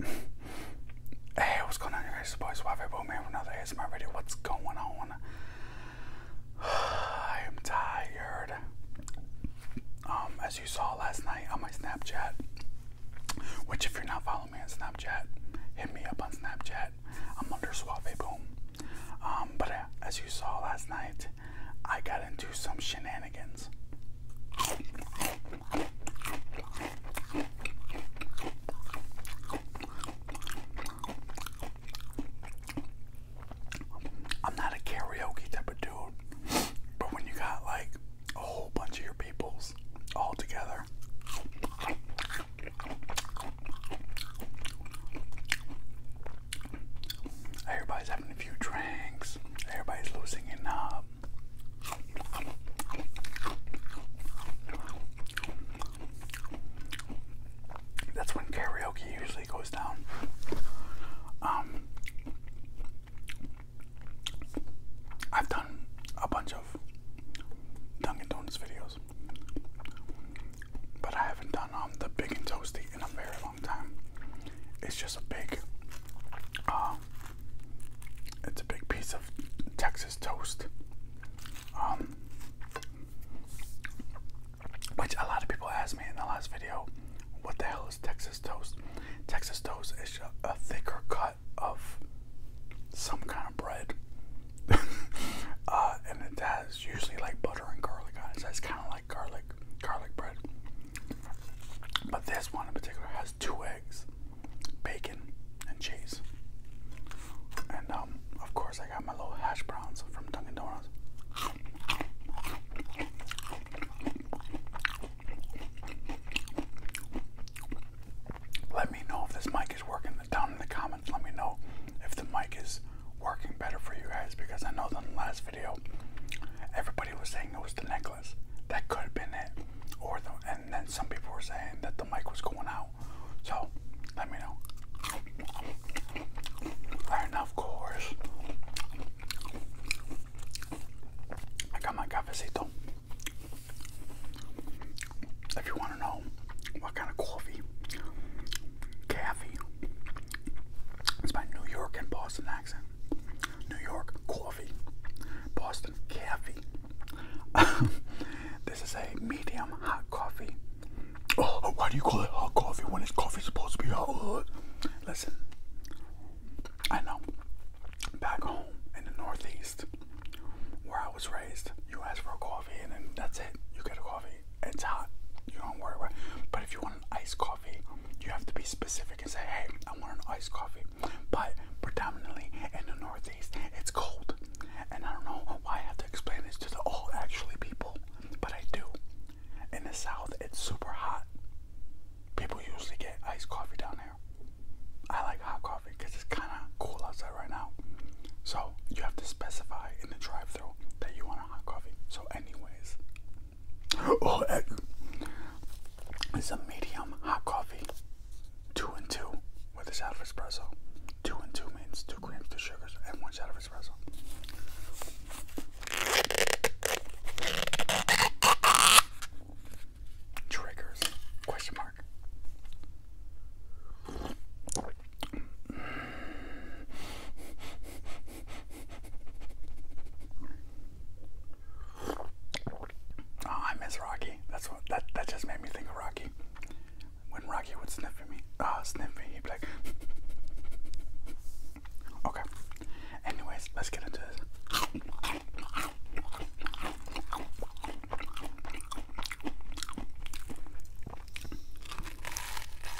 hey, what's going on, you guys? It's boys, Waffle Boom here with another ASMR video. What's going on? I am tired. Um, as you saw last night on my Snapchat, which if you're not following me on Snapchat, hit me up on Snapchat. I'm under Suave Boom. Um, but uh, as you saw last night, I got into some shenanigans. I'm not a karaoke type of dude, but when you got like a whole bunch of your peoples all together, everybody's having a few drinks, everybody's losing enough. That's when karaoke usually goes down. Um, I've done a bunch of Dunkin' Donuts videos, but I haven't done um, the Big and Toasty in a very long it's just a big, um, it's a big piece of Texas toast, um, which a lot of people asked me in the last video, what the hell is Texas toast? Texas toast is a, thicker cut of some kind of bread, uh, and it has usually like butter and garlic on it. kind of garlic garlic bread. But this one in particular has two eggs, bacon, and cheese. And um, of course, I got my little hash browns from Dunkin' Donuts. Let me know if this mic is working. Down in the comments, let me know if the mic is working better for you guys because I know that in the last everybody was saying it was the necklace. That could have been it. Or the, and then some people were saying that the mic was going out. So let me know. And of course, I got my cafecito. If you want to know what kind of coffee, caffeine, it's my New York and Boston accent. New York coffee, Boston caffeine. this is a medium hot coffee. Oh, why do you call it hot coffee when it's coffee supposed to be hot? Listen, I know. Back home in the Northeast, where I was raised, you ask for a coffee and then that's it. You get a coffee. It's hot. You don't worry about it. But if you want an iced coffee, you have to be specific and say, hey, I want an iced coffee. But predominantly in the Northeast, it's cold. And I don't know why I have to explain this to the all actually people, but I do. In the South, it's super hot. People usually get iced coffee down there. I like hot coffee because it's kind of cool outside right now. So you have to specify in the drive-through that you want a hot coffee. So anyways, Oh, it's a medium hot coffee. Two and two with a shot of espresso. Two and two means two grams, two sugars, and one shot of espresso. Triggers? Question mark. Oh, I miss Rocky. That's what that that just made me think of Rocky. When Rocky would sniff at me, ah, sniff me, he'd be like. okay. Anyways, let's get into this.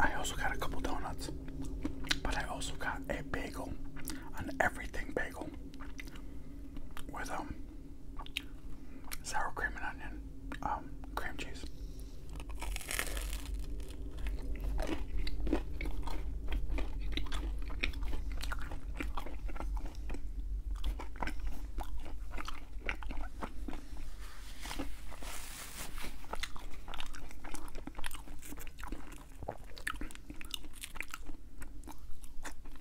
I also got a couple donuts, but I also got a bagel, an everything bagel with um sour cream and onion, um, cream cheese.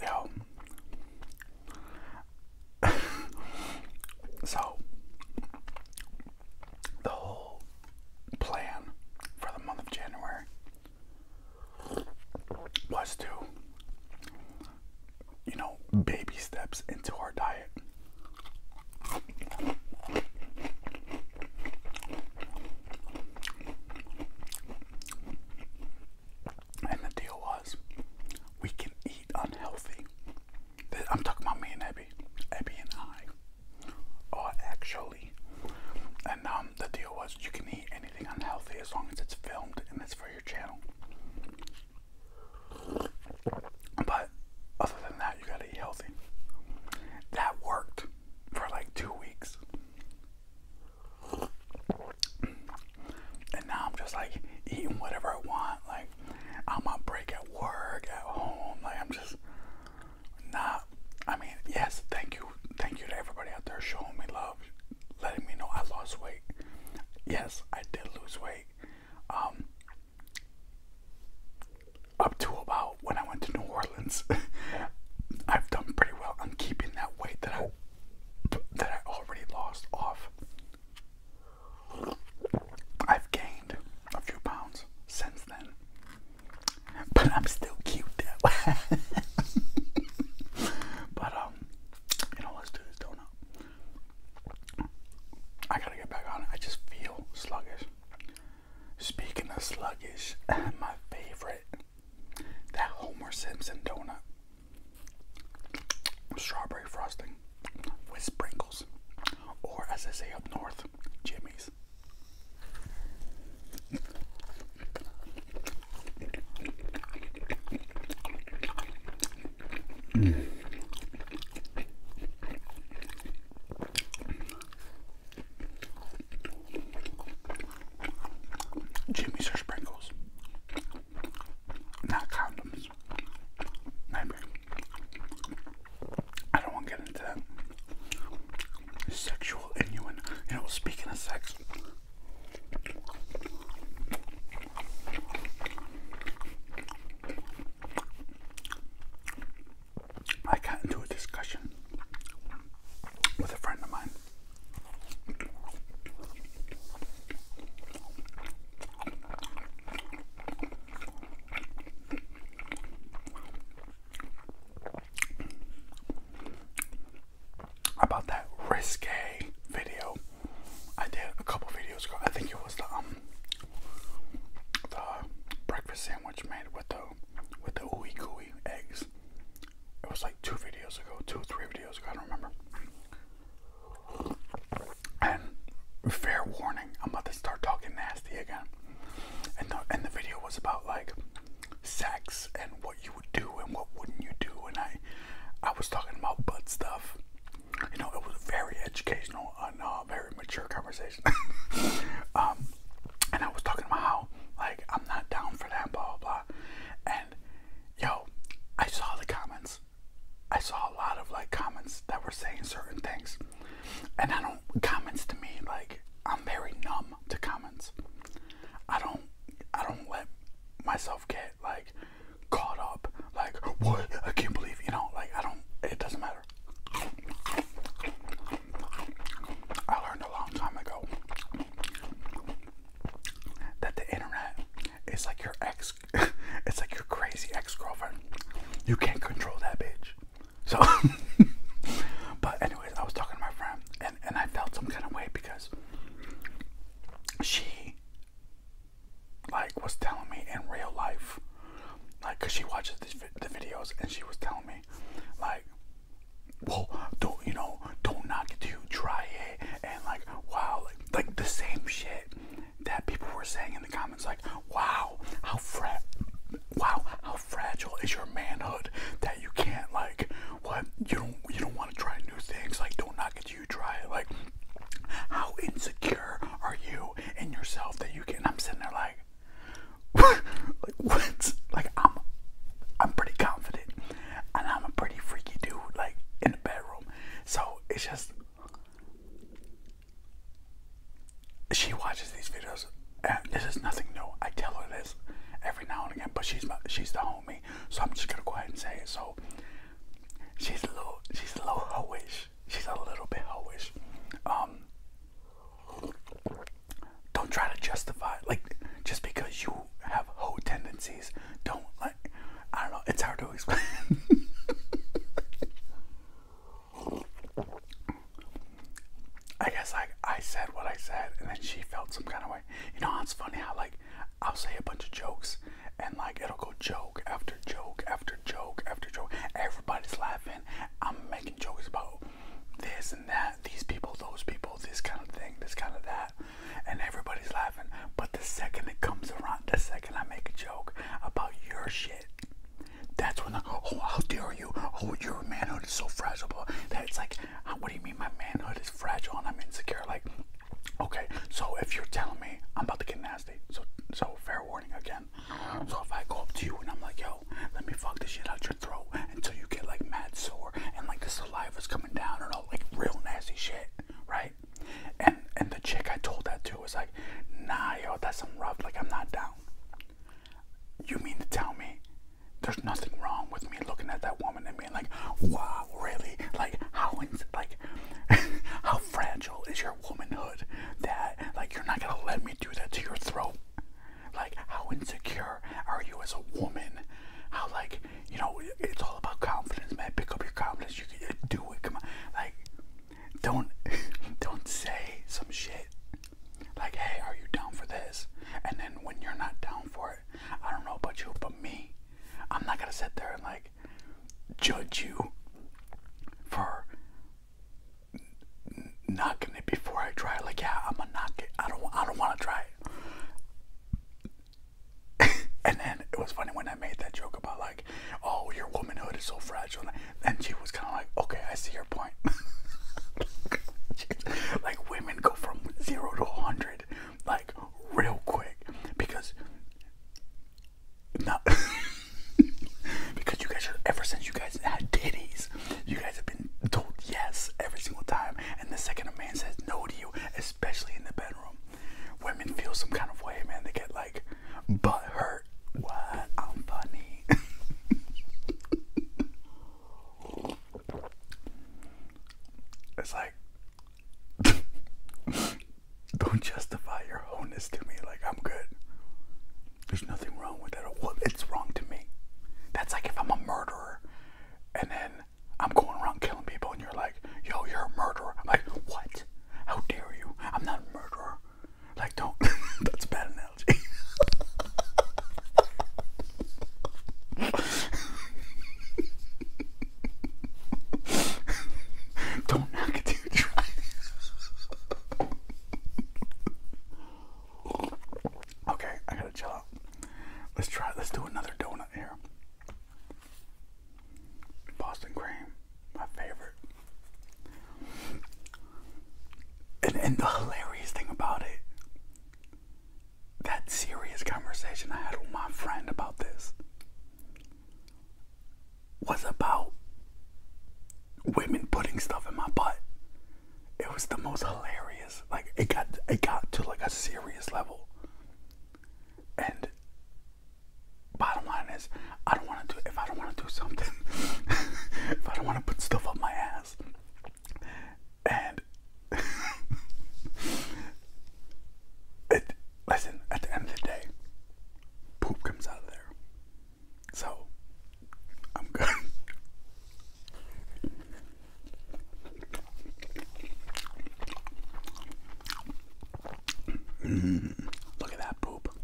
Yo. Um, so, the whole plan for the month of January was to, you know, baby steps into our diet. And the deal was, we can eat unhealthy. I'm talking about me and Abby. Abby and I are actually and um, the deal was you can eat anything unhealthy as long as it's filmed and it's for your channel. But other than that, you gotta eat healthy. That worked for like two weeks. And now I'm just like eating whatever I want. Like, I'm on break at work, at home. Like, I'm just not I mean, yes, thank you, thank you to everybody out there showing me love, letting me know I lost weight. Yes, I did lose weight. Um, up to about when I went to New Orleans, I've done pretty well. I'm keeping that weight that I that I already lost off. I've gained a few pounds since then but I'm still cute but um, you know, let's do this donut. I gotta get back on it. I just feel sluggish. Speaking of sluggish, my favorite that Homer Simpson donut, strawberry frosting with sprinkles, or as I say up north, Jimmy's. Mm. Jimmy's are sprinkles, not condoms. Maybe. I don't want to get into that. Sexual innuendo. speaking of sex, I got into a discussion with a friend of mine about that risque video I did a couple videos ago. I think it was the um, the breakfast sandwich made with the with the ooey gooey eggs. It was like two videos ago, two or three videos ago, I don't remember. And fair warning, I'm about to start talking nasty again. And the and the video was about like sex and what you would do and what wouldn't you do and I I was talking about butt stuff. You know, it was very educational and uh, very mature conversation. um, and I was talking about how like I'm not down for that, blah blah blah. And yo, I saw the comments. I saw a lot of like comments that were saying certain things. And I don't comments to me like I'm very numb to comments. I don't I don't let myself get like caught up like what I can't believe you know like I don't it doesn't matter. I learned a long time ago that the internet is like your ex it's like your crazy ex-girlfriend. You can't control that bitch. So, but anyways, I was talking to my friend, and and I felt some kind of way because she like was telling me in real life, like, cause she watches the, videos, and she was telling me, like, well, don't you know, don't knock it till you try it, and like, wow, like, the same shit that people were saying in the comments, like, wow, how fresh, wow, how fragile is your manhood that you can't like what you don't you don't want to try new things like don't knock it you try it like how insecure are you in yourself that you can I'm sitting there like like what like I'm I'm pretty confident and I'm a pretty freaky dude like in the bedroom so it's just she watches these videos. and This is nothing new. I tell her this every now and again, but she's my, she's the homie, so I'm just gonna go ahead and say it. So she's a little she's a little hoish. She's a little bit hoish. Um, don't try to justify like just because you have hoe tendencies. Don't like I don't know. It's hard to explain. I guess like I said what I said, and then she felt some kind of way. You know, it's funny how like I'll say a bunch of jokes, and like it'll go joke after joke after joke after joke. Everybody's laughing. I'm making jokes about this and that, these people, those people, this kind of thing, this kind of that, and everybody's laughing. But the second it comes around, the second I make a joke about your shit, that's when, I, oh, how dare you? Oh, your manhood is so fragile. That it's like, uh, what do you mean my manhood is fragile and I'm insecure? Like, okay, so if you're telling me I'm about to get nasty, so so fair warning again. So if I go up to you and I'm like, yo, let me fuck this shit out your throat until you get like mad sore and like the saliva's coming down and all like real nasty shit, right? And and the chick I told that to was like, nah, yo, that's some rough. Like I'm not down. You mean to tell me there's nothing wrong with me looking at that woman and being like, wow, really? Like, how, like, how fragile is your womanhood that, like, you're not gonna let me do that to your throat? Like, how insecure are you as a woman? How, like, you know, it's all about confidence, man. Pick up your confidence. You can do it. Come on. Like, don't, don't say some shit like, hey, are you down for this? And then when you're not down for it, I don't know about you, but me, I'm not gonna sit there and like judge you for knocking it before I try. Like, yeah, I'm gonna knock it. I don't. I don't want to try it. and then it was funny when I made that joke about like, oh, your womanhood is so fragile and she was kind of like, okay, I see your point. like women go from zero to 100 like real quick because not because you guys are ever since you guys had titties you guys have been told yes every single time and the second a man says no to you especially in the bedroom women feel some kind of way man they get like but hurt. What? I'm funny. it's like don't justify your wholeness to me like I'm good. There's nothing wrong with that. Well, it's wrong to me. That's like if I'm a murderer and then I'm going around killing people and you're like, yo, you're a murderer. I'm like, what? How dare you? I'm not a murderer. Like, don't. That's bad analogy. don't knock it till you try okay, I gotta chill out. Let's try. Let's do another donut here. Boston cream my favorite. And, and the hilarious thing about it, that serious conversation I had with my friend about this was about women putting stuff in my butt. It was the most hilarious. Like it got it got to like a serious level. And bottom line is, I don't want to do if I don't want to do something, if I don't want to put stuff up my ass, and it listen at the end of the day, poop comes out of there, so I'm good. Mm-hmm. look at that poop.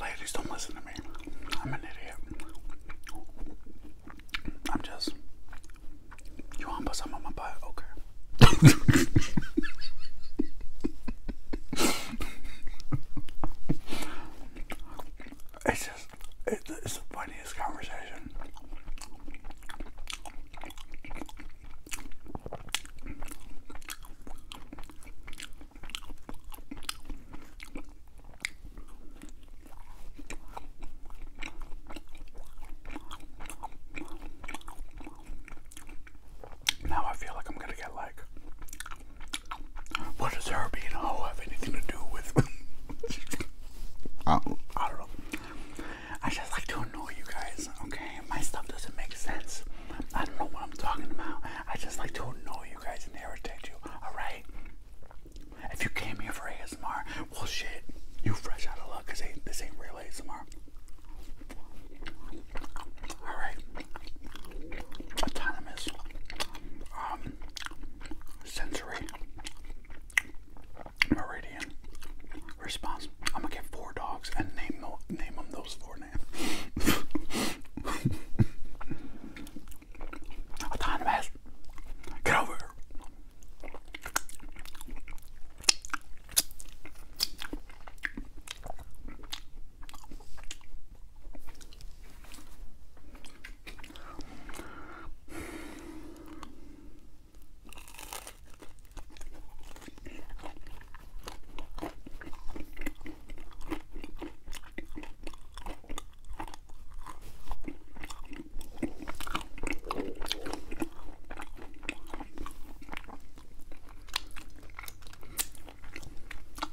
Ladies, don't listen to me. I'm an idiot. I'm just. You want to put some on my butt? Okay. it's just. it's the funniest conversation. Now I feel like I'm gonna get like, what does her being a have anything to do with? I, I don't know. I just like to annoy you guys, okay? My stuff doesn't make sense. I don't know what I'm talking about. I just like to annoy you guys and irritate you, alright? If you came here for ASMR, well shit, you fresh out of luck because this ain't real ASMR. Alright. Autonomous. Um sensory. Meridian. Meridian I'm gonna get four dogs and name no, name them those four names. Autonomous, get over here.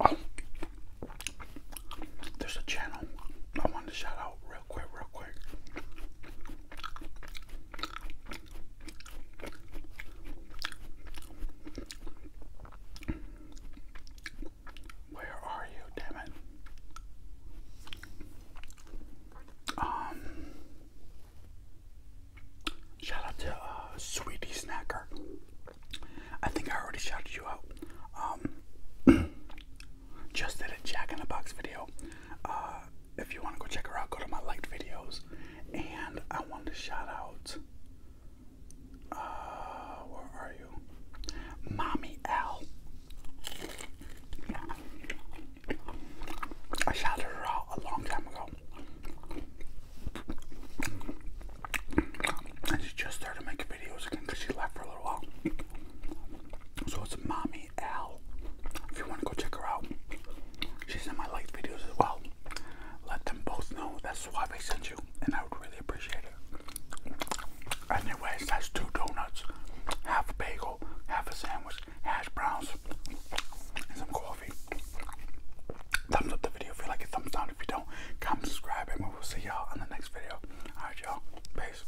Oh, there's a channel I wanted to shout out real quick, real quick. Where are you, damn it? Um, shout out to uh, Sweetie Snacker. I think I already shouted you out. Um, just did a Jack in the Box video. Uh, if you want to go check her out, go to my liked videos. And I want to shout out, uh, where are you? Mommy L. I shouted her out a long time ago. And she just started making videos again because she left for a little while. So it's Mommy Al. If you want to go check her out, she's in my light videos as well. Let them both know that's why they sent you, and I would really appreciate it. Anyways, that's two donuts, half a bagel, half a sandwich, hash browns, and some coffee. Thumbs up the video if you like it, thumbs down if you don't. Comment, subscribe, and we will see y'all on the next video. Alright, y'all. Peace.